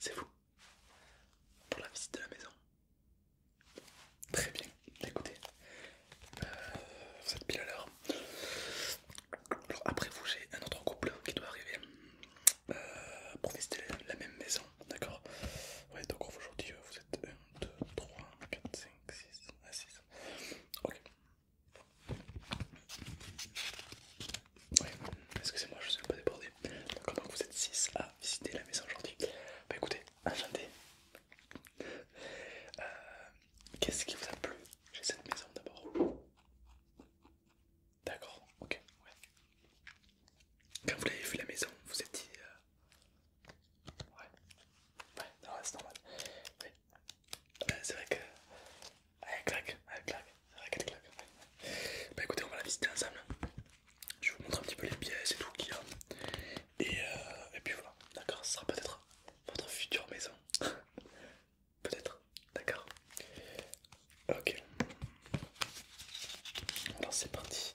C'est vous pour la visite de la maison. Très bien, écoutez, vous euh, êtes pile à l'heure. après vous j'ai un autre couple qui doit arriver euh, pour visiter la même maison, d'accord Ouais donc aujourd'hui vous êtes 1, 2, 3, 4, 5, donc, 6, à 6. Ok. Oui, excusez-moi, je suis un peu débordé. D'accord, donc vous êtes 6 à visiter la maison aujourd'hui. Bah écoutez, enchanté. Euh, qu'est-ce qui vous a plu chez cette maison d'abord D'accord, ok. Ouais. Quand vous l'avez vu la maison, vous étiez euh, Ouais, ouais, c'est normal. Euh, c'est vrai que. Ah, elle claque, elle claque, c'est qu'elle claque. Bah écoutez, on va la visiter ensemble. Je vous montre un petit peu les pièces et tout qu'il y a. Et, euh, et puis voilà, d'accord, ce sera peut-être votre future maison. peut-être, d'accord. Ok. Alors c'est parti.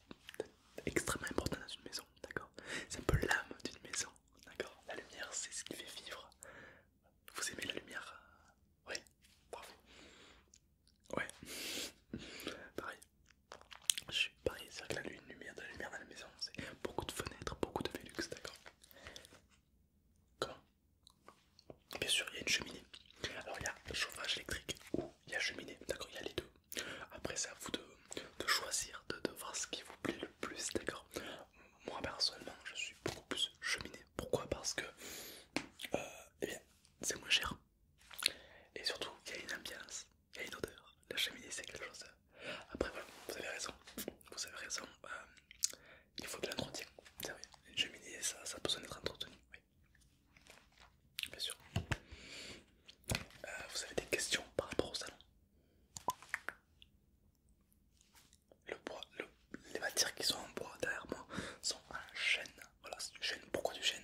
extrêmement important dans une maison, d'accord C'est un peu l'âme d'une maison, d'accord La lumière, c'est ce qui fait vivre. Vous aimez la lumière Oui, Ouais, pareil. Je suis pareil, c'est vrai que la lumière de la lumière dans la maison, c'est beaucoup de fenêtres, beaucoup de vélux d'accord Comment Bien sûr, il y a une cheminée. Alors il y a chauffage électrique ou il y a cheminée, d'accord Il y a les deux. Après, c'est à vous de, choisir, de, voir ce qui vous plaît le plus, d'accord Moi, personnellement, je suis beaucoup plus cheminée. Pourquoi Parce que euh, eh bien, c'est moins cher. Et surtout, il y a une ambiance, il y a une odeur. La cheminée, c'est quelque chose. Après, voilà, vous avez raison. Vous avez raison. Euh, il faut de l'entretien. C'est une cheminée, ça, a besoin d'être entretenu. Bien sûr. Euh, vous avez des questions par rapport au salon le bois, les matières qui sont en bois derrière moi sont en chêne. Voilà, c'est du chêne. Pourquoi du chêne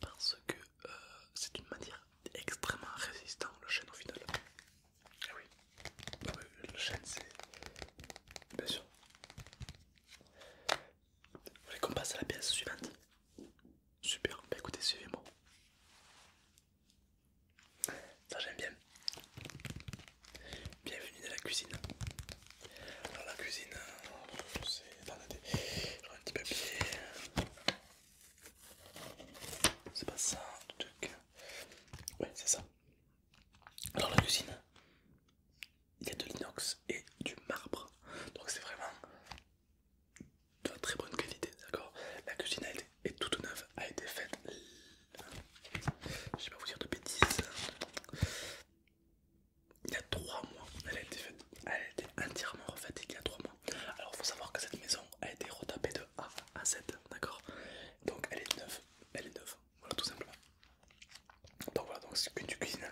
Parce que euh, c'est une matière extrêmement résistante, le chêne au final. Eh ah oui, oui le chêne c'est. Bien sûr. Vous voulez qu'on passe à la pièce suivante Super, bah écoutez, suivez-moi. Ça j'aime bien. Bienvenue dans la cuisine. Alors la cuisine, euh, c'est... Attendez, j'aurai un petit papier. C'est pas ça, le truc. Ouais, c'est ça. Alors la cuisine, il y a de l'inox et du marbre. Donc c'est vraiment de très bonne qualité, d'accord La cuisine elle, est toute neuve, a été faite. Je vais pas vous dire de bêtises. Il y a trois mois, elle a été faite. Elle a été entièrement refaite il y a 3 mois. Alors faut savoir que cette maison a été retapée de A à Z, d'accord Donc elle est neuve, elle est neuve, voilà tout simplement. Donc voilà, donc c'est une cuisine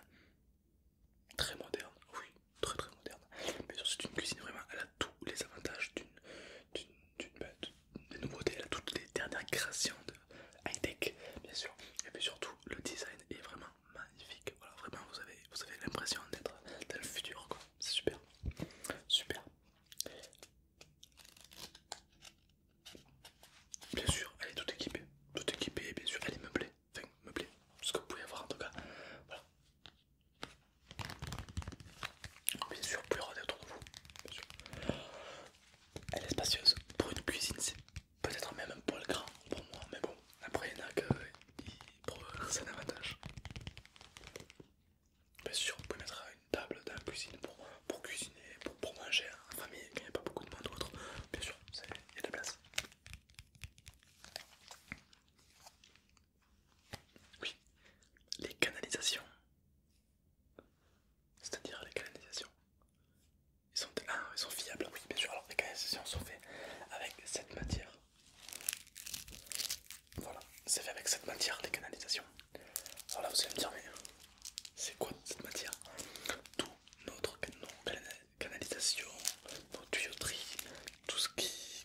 très moderne, oui, très très moderne. mais c'est une cuisine vraiment, elle a tous les avantages d'une bah, des nouveauté, elle a toutes les dernières créations de high-tech, bien sûr. Et puis surtout, le design est vraiment magnifique. Voilà, vraiment, vous avez, vous avez l'impression d'être dans le futur, quoi. C'est super, super. Bien sûr, elle est toute équipée, toute équipée, bien sûr, elle est meublée, enfin meublée, ce que vous pouvez avoir en tout cas. Voilà, Oh, bien sûr, plus autour de vous. Elle est spacieuse. Pour une cuisine, c'est peut-être même un poil grand pour moi, mais bon, après il y en a que pour c'est un avantage. Bien sûr, vous pouvez mettre une table dans la cuisine pour, pour cuisiner, pour, pour manger en hein. famille quand il n'y a pas beaucoup de monde d'autre Bien sûr, il y a de la place. Oui, les canalisations. C'est-à-dire les canalisations. Ils sont, ah, ils sont fiables, oui, bien sûr. Alors, les canalisations sont faites avec cette matière. Voilà, c'est fait avec cette matière, les canalisations. Alors là, vous allez me dire, mais c'est quoi cette matière Tout notre canalisation, nos tuyauteries, tout ce qui,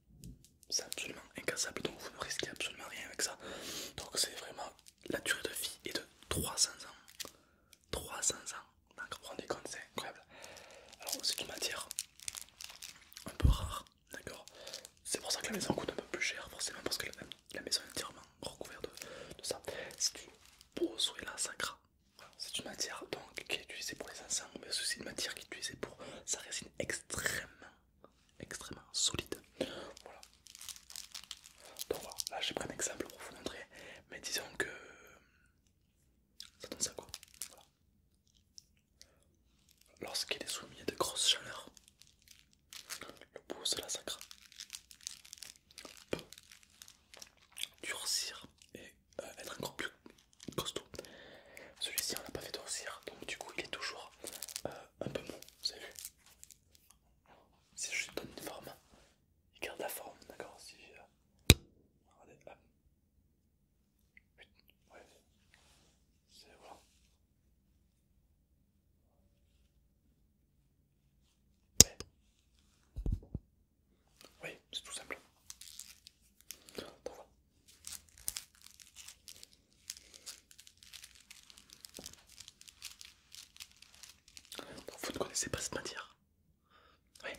C'est absolument incassable, donc vous ne risquez absolument rien avec ça. Donc c'est vraiment la durée de vie est de 300 ans. 300 ans, D'accord, vous vous rendez compte, c'est incroyable. Alors c'est une matière un peu rare, d'accord C'est pour ça que la maison coûte un peu plus cher, forcément, parce que la, maison est entièrement recouverte de, ça. Si tu beau là sacra, c'est une matière donc qui est utilisée pour les ensembles, mais aussi une matière qui est utilisée pour sa résine extrêmement, extrêmement solide. Voilà. Donc voilà, là j'ai pris un exemple pour vous montrer, mais disons que ça donne ça quoi. Voilà. Lorsqu'il est soumis à de grosses chaleurs, le pouce de la sacra peut durcir et euh, être encore plus costaud. Celui-ci on l'a pas fait dorcir, donc du coup il est toujours euh, un peu mou, vous avez vu Si je donne une forme, il garde la forme, d'accord Si euh, Regardez, hop. c'est Oui, c'est tout simple vous ne connaissez pas cette matière Oui.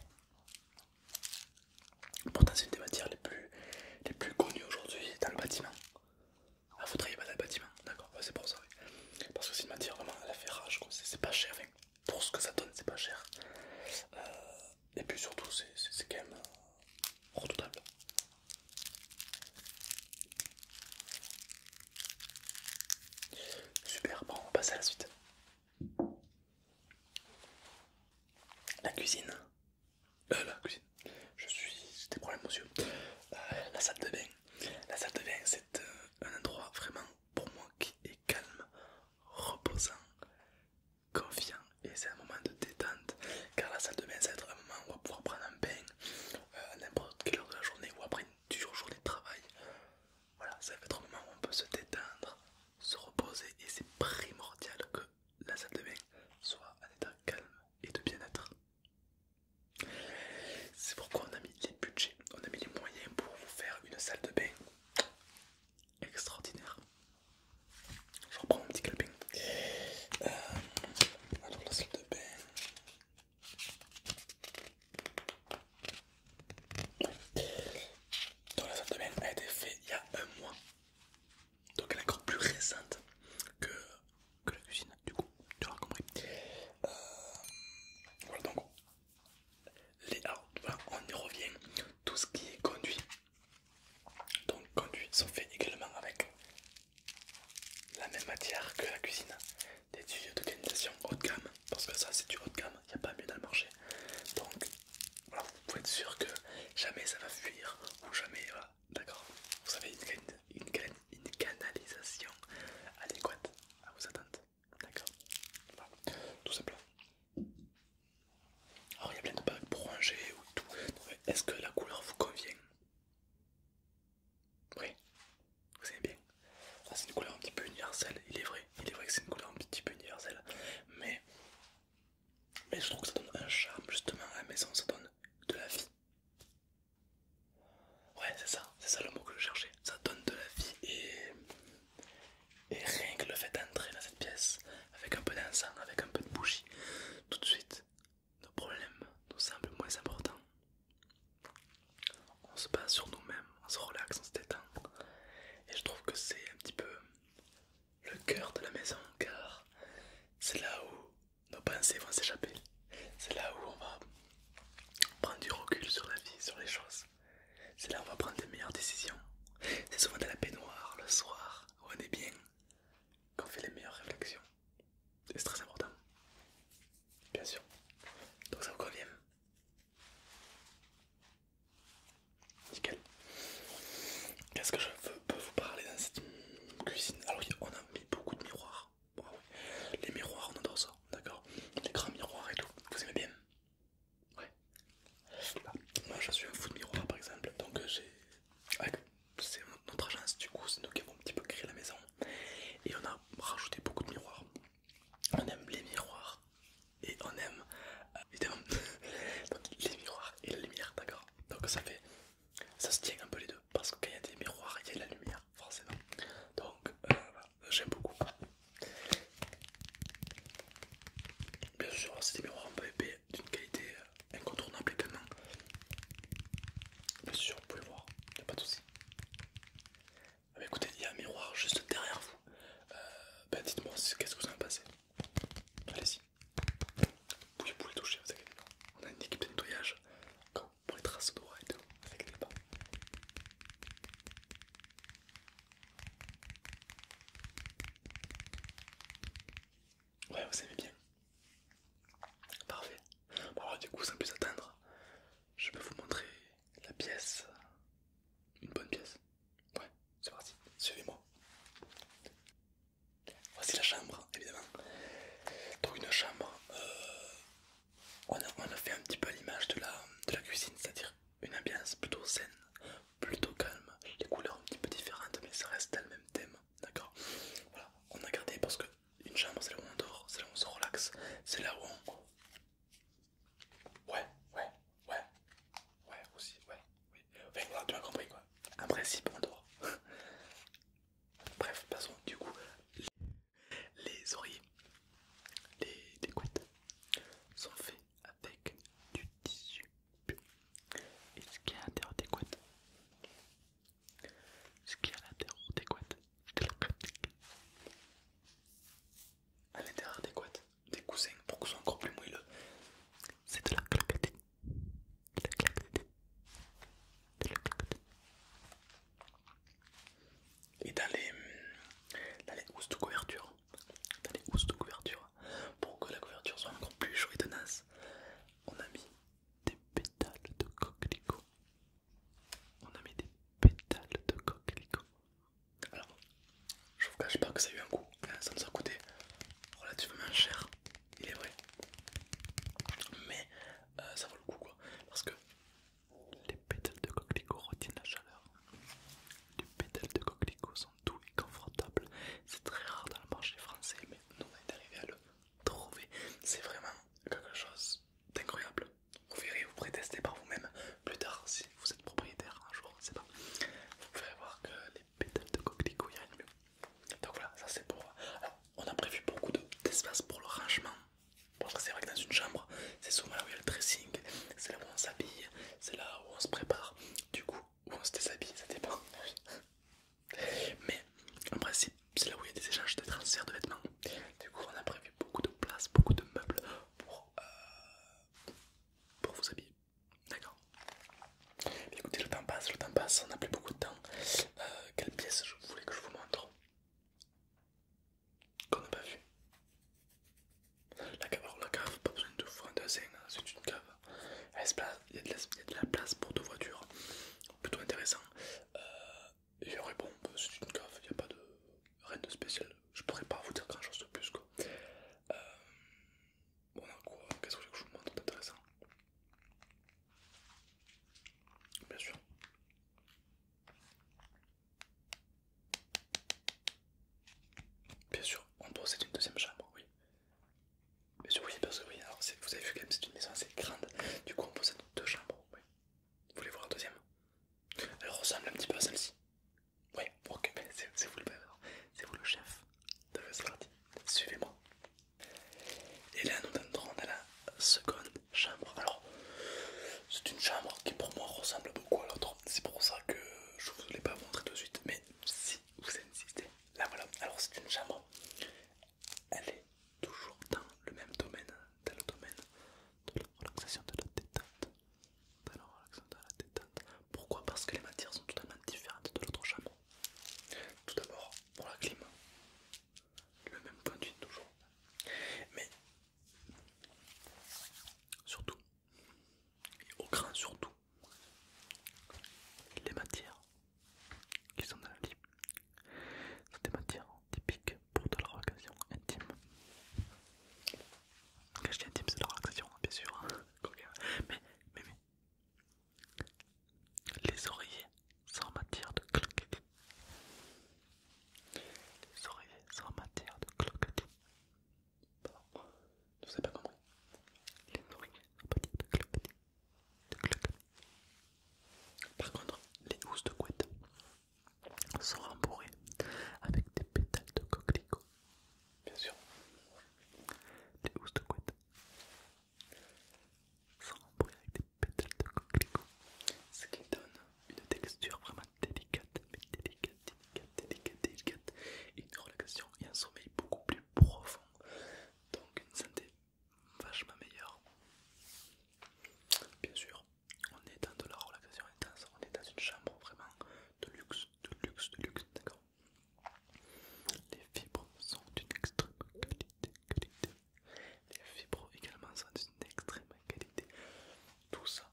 Pourtant c'est une des matières les plus, les plus connues aujourd'hui dans le bâtiment. Ah vous travaillez pas dans le bâtiment, d'accord, c'est pour ça oui. Parce que c'est une matière vraiment, elle la fait rage, c'est pas cher, enfin, pour ce que ça donne c'est pas cher. Euh, et puis surtout, c'est quand même euh, redoutable. Super, bon, on passe à la suite. La cuisine. Euh, la cuisine. Je suis. J'ai des problèmes aux euh, la salle de bain. La salle de bain, c'est euh, un endroit vraiment pour moi qui est calme, reposant, confiant et c'est un moment de détente car la salle de bain c'est un moment où on va pouvoir prendre un bain à euh, n'importe quelle heure de la journée ou après une dure journée de travail. Voilà, ça va être un moment où on peut se détendre, se reposer et c'est primordial que la salle de bain soit en état calme et de bien-être. C'est pourquoi on a mis les budgets, on a mis les moyens pour vous faire une salle de bain extraordinaire. Je reprends mon petit calepin euh, la salle de bain. Donc la salle de bain a été faite il y a un mois. Donc elle est encore plus récente que, que la cuisine du coup, tu l'auras compris. Euh, voilà donc les, on y revient. Tout ce qui est conduit donc conduits sont faits également avec la même matière que la cuisine, des tuyaux de canalisation haut de gamme, parce que ça c'est du haut de gamme, il n'y a pas mieux dans le marché. Donc vous pouvez être sûr que jamais ça va fuir ou jamais d'accord. Vous avez une, une canalisation adéquate à vos attentes, d'accord. Voilà. Tout simplement. Alors il y a plein de bagues orangées ou tout. Est-ce que la couleur vous convient Oui, vous aimez bien. Ah, c'est une couleur un petit peu universelle, il est vrai. Il est vrai que c'est une couleur un petit peu universelle. Mais, mais je trouve que ça donne un charme justement à la maison, ça donne de la vie. Ouais, c'est ça, c'est ça le mot que je cherchais. Ça donne de la vie et et rien que le fait d'entrer dans cette pièce, avec un peu d'encens, avec un peu de bougie, tout de suite, nos problèmes nous semblent moins importants. On se base sur nous-mêmes, on se relaxe, on se détend. Et je trouve que c'est un petit peu le cœur de la maison, car c'est là où nos pensées vont s'échapper. C'est là où on va prendre du recul sur la vie, sur les choses. C'est là où on va prendre les meilleures décisions. C'est souvent dans la baignoire, le soir, où on est bien, qu'on fait les meilleures réflexions. C'est très important. Bien sûr. Donc ça vous convient Nickel. Qu'est-ce que je veux, peux vous parler dans cette cuisine Alors oui, on a mis beaucoup de miroirs. Les miroirs, on adore ça, d'accord Les grands miroirs et tout. Vous aimez bien Ouais. Moi je suis un fou de miroir par exemple, donc euh, j'ai. C'est notre agence, du coup, c'est nous qui avons un petit peu créé la maison et on a rajouté beaucoup de miroirs. On aime les miroirs et on aime euh, évidemment les miroirs et la lumière, d'accord Donc ça fait. Ça se tient un peu les deux parce que quand il y a des miroirs, il y a de la lumière, forcément. Donc euh, j'aime beaucoup. Bien sûr, c'est des miroirs en PVP d'une qualité incontournable également. Bien sûr, vous pouvez voir, il n'y a pas de soucis mais ah bah écoutez, il y a un miroir juste derrière vous. Euh, bah dites-moi qu'est-ce que vous en pensez. Allez-y. Vous pouvez toucher, vous inquiétez On a une équipe de nettoyage pour les traces droit et tout, avec les Ouais, vous savez bien. Parfait. Bon, du coup, sans plus attendre, je peux vous montrer la pièce. Une bonne pièce. Ouais, c'est parti. Suivez-moi. Voici la chambre, évidemment. Donc, une chambre. Euh, on, a, fait un petit peu l'image de de la cuisine, c'est-à-dire une ambiance plutôt saine, plutôt calme, les couleurs un petit peu différentes, mais ça reste le même thème, d'accord Voilà, on a gardé parce que une chambre c'est là où on dort, c'est là où on se relaxe, c'est là où on. Ouais, ouais, ouais, ouais, aussi, ouais, ouais Enfin tu m'as compris quoi. un principe, on dort. Bref, passons du coup les, oreilles, les, les couettes sont faits avec du tissu. Et ce qui est à l'intérieur des couettes, ce qui est à l'intérieur des couettes, à l'intérieur des couettes, des coussins pour que ce soit encore plus moelleux, c'est de la claquette, de la claquette, de la claquette. Et dans les, dans les housses de couverture, dans les housses de couverture, hein. pour que la couverture soit encore plus chaude et tenace, on a mis des pétales de coquelicot. On a mis des pétales de coquelicot. Alors, je vous cache pas que ça a eu un coup, hein, ça nous a coûté relativement cher, il est vrai, mais euh, ça vaut le coup quoi, parce que les pétales de coquelicot retiennent la chaleur. Les pétales de coquelicot sont tout est confortable. C'est très rare dans le marché français, mais nous on est arrivé à le trouver. C'est vraiment quelque chose d'incroyable. Vous verrez, vous prétestez par vous-même plus tard si vous êtes propriétaire un jour, pas. Vous verrez voir que les pétales de coquelicot y a mieux. Donc voilà, ça c'est pour. Alors, on a prévu beaucoup d'espace pour le rangement. Parce que c'est vrai que dans une chambre, c'est souvent là où il y a le dressing, c'est là où on s'habille, c'est là où on se prépare. Du coup, ou on se déshabille, ça dépend. Mais en principe, c'est là où il y a des échanges de transfert de vêtements. Du coup, on a prévu beaucoup de place, beaucoup de meubles pour, euh, pour vous habiller. D'accord Écoutez, le temps passe, le temps passe, on n'a plus beaucoup de temps. Euh, quelle pièce je voulais que je vous montre Qu'on n'a pas vu la cave, la cave, pas besoin de en hein, c'est une cave. Il y, a de la, place pour deux voitures, plutôt intéressant. et euh, aurait bon, bah, c'est une cave, il a pas de rien de spécial. Je pourrais pas vous dire grand chose de plus quoi. bon, euh, on quoi Qu'est-ce que je vous montre d'intéressant Bien sûr. Bien sûr, on possède une deuxième chambre, oui. Bien sûr, oui, vous avez vu quand c'est une maison assez grande. Du coup, on possède deux chambres, Vous voulez voir la deuxième Elle ressemble un petit peu à celle-ci. Oui, ok, mais c'est vous le c'est vous le chef de Suivez-moi. Et là, nous entrons dans la seconde chambre. Alors, c'est une chambre qui pour moi ressemble beaucoup à l'autre. C'est pour ça que je ne l'ai pas montré tout de suite. Mais si vous insistez. Là voilà, alors c'est une chambre. Elle est toujours dans le même domaine, dans le domaine de la relaxation, de la détente. Pourquoi Parce que les matières sont totalement différentes de l'autre chambre. Tout d'abord, pour la climat, le même point de vue toujours. Mais surtout, et au grand surtout, les matières qui sont dans la vie sont des matières typiques pour de la relation intime. Quand je dis intime, c'est de la bien sûr, hein. mais, mais, Les oreillers sont en matière de cloquetis. Les oreillers sont matière de cloquetis. Pardon, je vous pas compris. Les nourris sont petites de Par contre, les housses de couette sont rembourrées avec des pétales de coquelicot. Bien sûr, les housses de couette sont rembourrées avec des pétales de coquelicot, ce qui donne une texture vraiment délicate, mais délicate délicate, délicate, délicate, une relaxation et un sommeil beaucoup plus profond, donc une santé vachement meilleure. Bien sûr, on est dans de la relaxation intense, on est dans une chambre vraiment de luxe, de luxe, de luxe, d'accord Les fibres sont d'une extrême qualité, qualité. Les fibres également sont d'une extrême qualité. Tout ça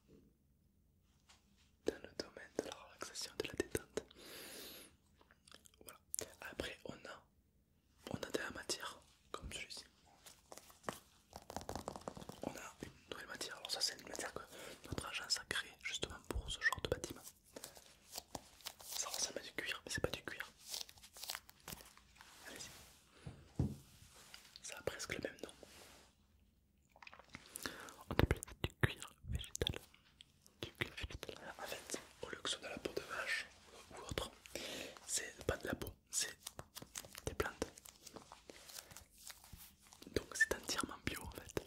dans le domaine de la relaxation de la détente. Voilà. Après, on a, on a de la matière comme celui-ci. On a une nouvelle matière. Alors ça, c'est une matière que notre agence a créée justement pour ce genre de bâtiment. Ça ressemble à du cuir, mais c'est pas du cuir. Allez-y. Ça a presque le même nom. On appelle du cuir végétal. Du cuir végétal. En fait, au lieu que ce soit de la peau de vache ou autre, c'est pas de la peau, c'est des plantes. Donc c'est entièrement bio en fait.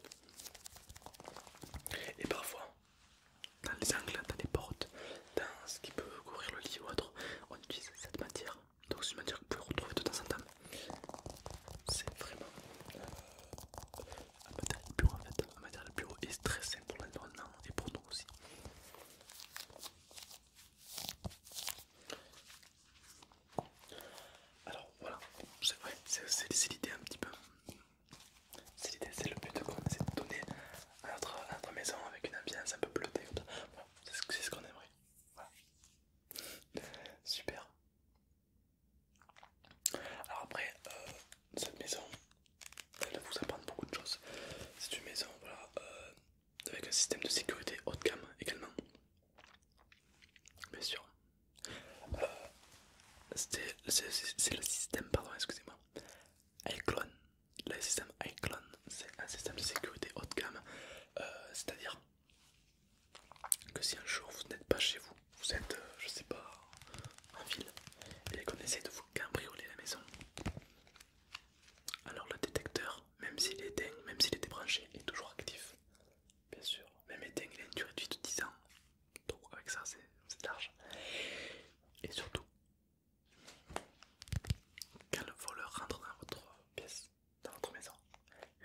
Et parfois, dans les angles, dans les portes, dans ce qui peut couvrir le lit ou autre, on utilise cette matière. Donc c'est une matière que vous pouvez retrouver de temps en temps c'est vraiment euh, un matériel bio bureau en fait. Un matériel plus bureau est très sain pour l'environnement et pour nous aussi. Alors voilà, c'est vrai, c'est l'idée un petit peu. C'est l'idée, c'est le but qu'on essaie de donner à notre, notre maison avec une ambiance un peu bleutée. Voilà, c'est ce qu'on aimerait. Super. Alors après, euh, cette maison, elle va vous apprendre beaucoup de choses. C'est une maison voilà, euh, avec un système de sécurité haut de gamme également. Bien sûr. Euh, c'est le système, pardon, excusez-moi. Iclone. Le système Iclone, c'est un système de sécurité haut de gamme. C'est-à-dire que si un jour vous n'êtes pas chez vous, vous êtes, euh, je sais pas, en ville et qu'on essaie de vous cambrioler la maison, alors le détecteur, même s'il est éteint, même s'il est débranché, est toujours actif. Bien sûr, même éteint, il a une durée de vie de 10 ans. Donc avec ça, c'est large. Et surtout, quand le voleur rentre dans votre pièce, dans votre maison,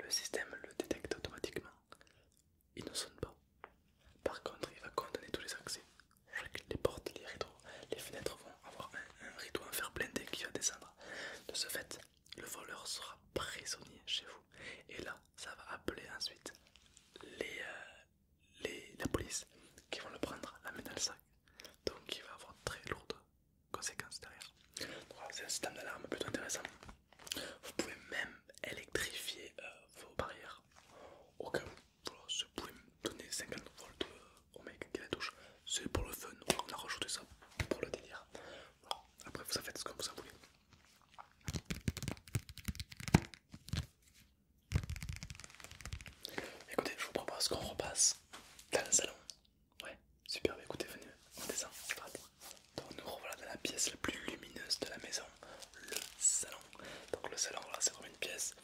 le système le détecte automatiquement il ne sonne pas. Par contre, il va condamner tous les accès. Les portes, les rideaux, les fenêtres vont avoir un, rideau en fer blindé qui va descendre. De ce fait, le voleur sera prisonnier chez vous. Et là, ça va appeler ensuite les, euh, les, la police qui vont le prendre, la main dans le sac. Donc, il va avoir très lourdes conséquences derrière. C'est un système d'alarme plutôt intéressant. Vous pouvez même électrifier euh, vos barrières. Au cas où, vous pouvez donner 50 volts euh, au mec qui la touche. C'est pour le fun, on a rajouté ça pour le délire. Après, vous en faites ce que vous en voulez. Écoutez, je vous propose qu'on repasse dans le salon. Ouais, super, bah, écoutez, venez, on descend, c'est donc nous revoilà dans la pièce la plus lumineuse de la maison, le salon. Donc le salon, c'est vraiment une pièce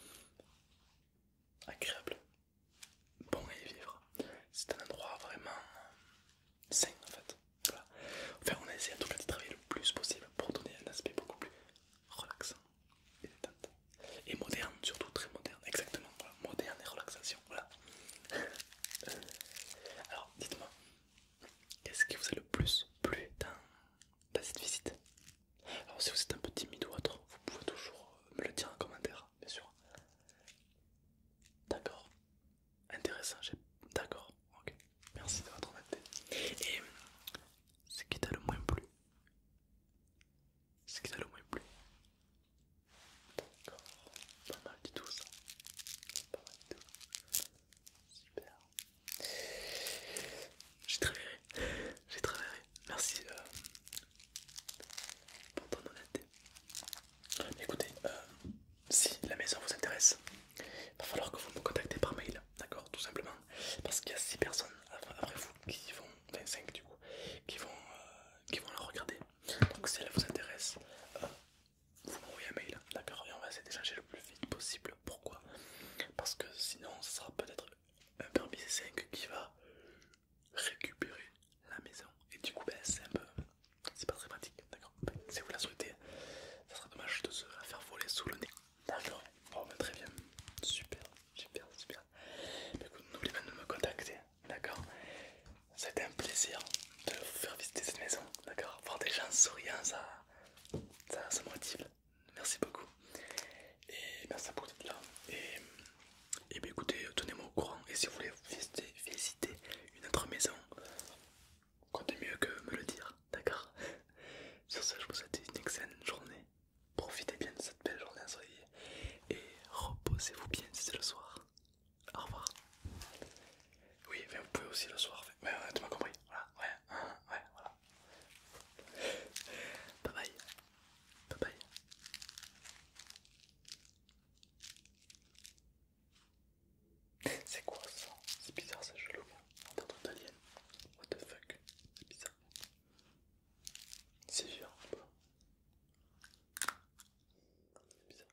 agréable, bon à y vivre. C'est un endroit vraiment euh, sain en fait. Enfin, on a essayé en tout cas de travailler le plus possible pour donner un aspect beaucoup plus relaxant et moderne, surtout très moderne, exactement. Moderne et relaxation, voilà. Alors, dites-moi, Qu'est-ce qui vous a le plus plu dans, cette visite Alors si vous êtes un peu timide ou autre, vous pouvez toujours euh, me le dire en commentaire, bien sûr. D'accord. Intéressant, j'ai... D'accord, ok. Merci de votre honnêteté. Et ce qui t'a le moins plu Ce qui t'a le moins plu D'accord, pas mal du tout ça. Pas mal du tout. Super. J'ai travaillé, j'ai travaillé. Merci euh, pour ton honnêteté. Écoutez, euh, si la maison vous intéresse, il va falloir que vous me contactez par mail, d'accord, tout simplement, parce qu'il y a 6 personnes après vous qui vont, 25 du coup, qui vont, euh, qui vont la regarder. Donc si elle vous intéresse, vous m'envoyez un mail, hein. d'accord, et on va essayer d'échanger le plus vite possible. Pourquoi Parce que sinon, ce sera peut-être un permis C5 qui va récupérer la maison, et du coup, ben, c'est un peu. C'est pas très pratique, d'accord ben, Si vous la souhaitez, ça sera dommage de se faire voler sous le nez, d'accord Bon, ben, très bien, super, super, super. Ben, n'oubliez pas de me contacter, d'accord c'était un plaisir de vous faire visiter cette maison, d'accord Voir des gens souriants, ça, ça, me motive. Merci beaucoup. Et merci à vous d'être là. Et, écoutez, tenez-moi au courant. Et si vous voulez visiter, une autre maison, comptez mieux que me le dire, d'accord Sur ce, je vous souhaite une excellente journée. Profitez bien de cette belle journée ensoleillée. Et reposez-vous bien si c'est le soir. Au revoir. Oui, mais vous pouvez aussi le soir. Mais ouais, euh, tu m'as compris. Voilà, ouais, hein, ouais, voilà. Bye bye. Bye bye. C'est quoi ça C'est bizarre ça je l'ouvre. d'alien. What the fuck C'est bizarre. C'est dur C'est bizarre.